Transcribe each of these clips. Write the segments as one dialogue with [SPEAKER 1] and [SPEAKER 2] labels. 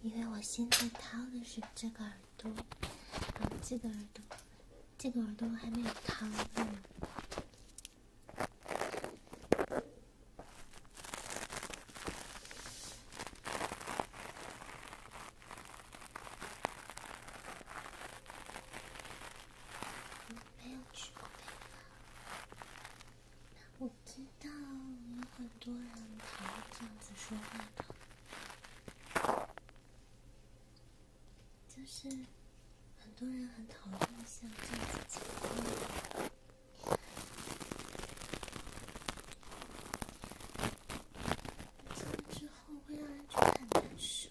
[SPEAKER 1] 因为我现在掏的是这个。耳朵，这个耳朵，这个耳朵还没有糖。我没有去过北方，我知道有很多人还会这样子说话的。就是很多人很讨厌像这种情况，结婚之后会让人觉得很难受。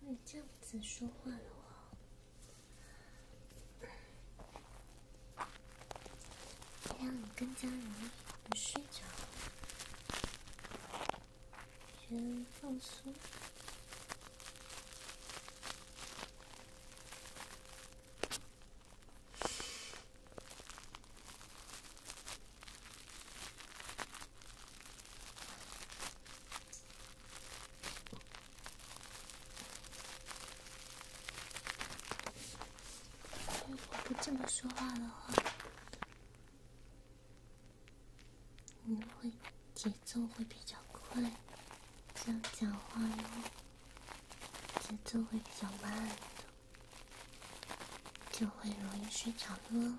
[SPEAKER 1] 你这样子说话的话，让你更加容易睡觉，先放松。如果不这么说话的话，你会节奏会比较快；这样讲话，节奏会比较慢的。就会容易睡着了。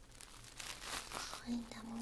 [SPEAKER 1] 愛いんだもん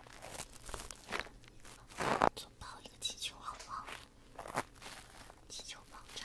[SPEAKER 1] 做爆一个气球好不好？气球爆炸。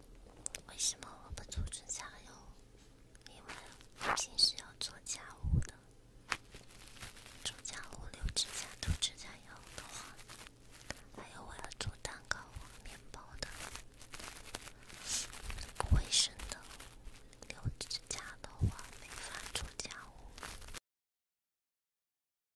[SPEAKER 1] 为什么我不做指甲油？因为平时要做家务的，做家务留指甲涂指甲油的话，还有我要做蛋糕、面包的，卫生的。留指甲的话，没法做家务。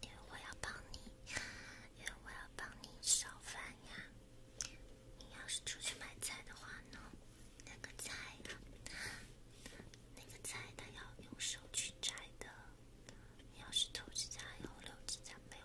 [SPEAKER 1] 因为我要帮你，因为我要帮你烧饭呀。你要是出去买菜的话呢，那个菜，那个菜它要用手去摘的。你要是涂指甲油，留指甲没有。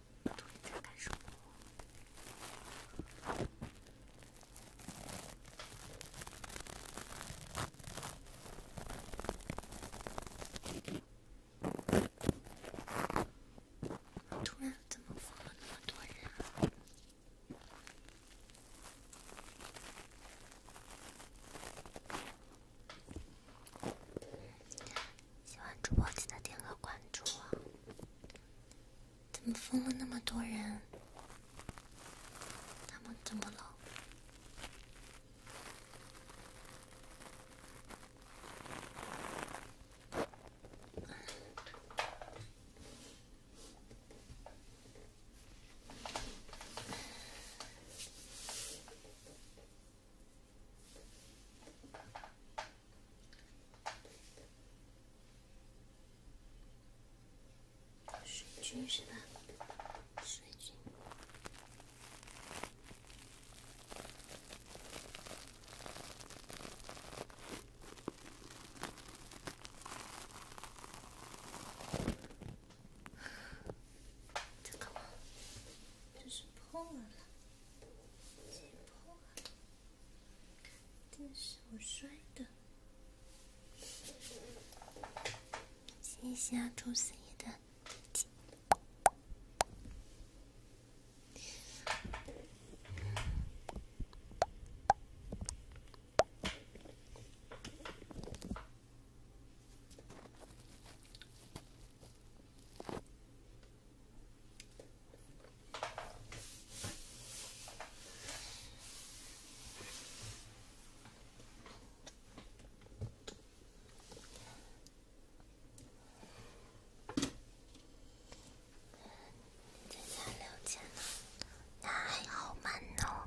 [SPEAKER 1] 我突然在干什么？我突然怎么放了那么多人？喜欢主播记得点个关注啊！怎么封了那么多人？他们怎么了？水军是吧？水军，这个吗？这是破了。这是朱四爷的。再加六千呢，那还好慢呢。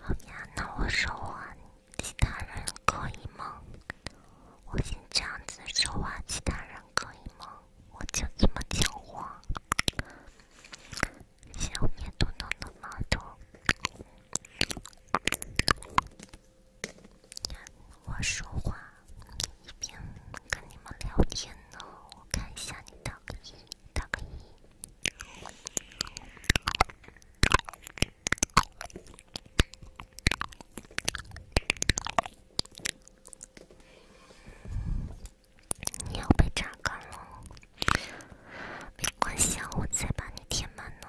[SPEAKER 1] 好呀，那我说话，其他人可以吗？我先这样子说话，其他人可以吗？我就这么讲话。前面嘟嘟的馒我说话一边跟你们聊天呢，我看一下你的。可以，你要被榨干了，没关系，我在把你填满呢。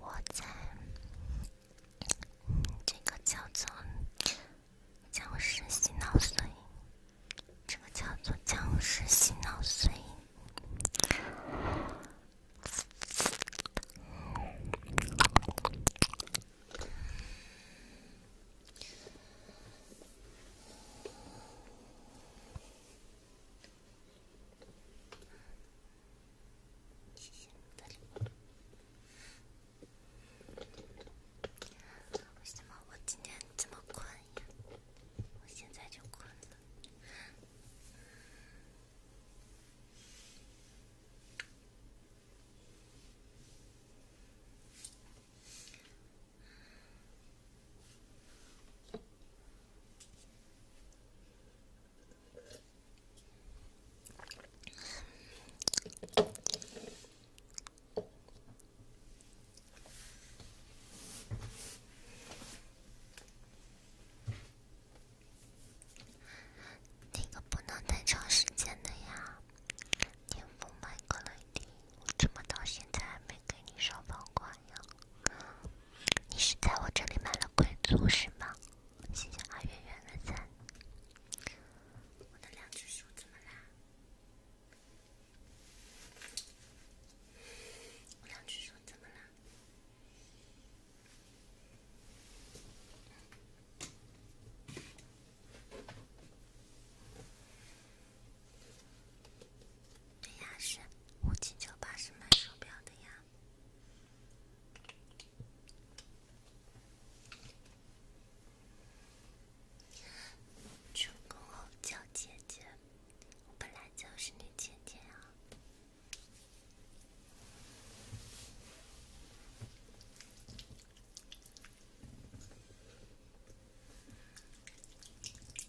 [SPEAKER 1] 我在这个叫做“僵尸洗脑碎”，这个叫做“僵尸洗脑碎”。为什么我今天这么困呀？我现在就困了。那个不能太长时间的呀，你不能买过来。我怎么到现在还没给你上房款呀？你是在我这里买了贵族是吗？谢谢阿圆圆的赞。我的两只手怎么啦？我的两只手怎么啦？对呀，是五九八是卖手表的呀。成功后叫姐姐，我本来就是女姐姐啊。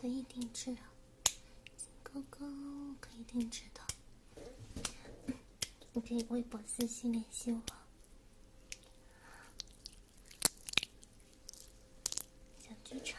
[SPEAKER 1] 可以定制。哥哥可以定制的，你 可以微博私信联系我。小剧场。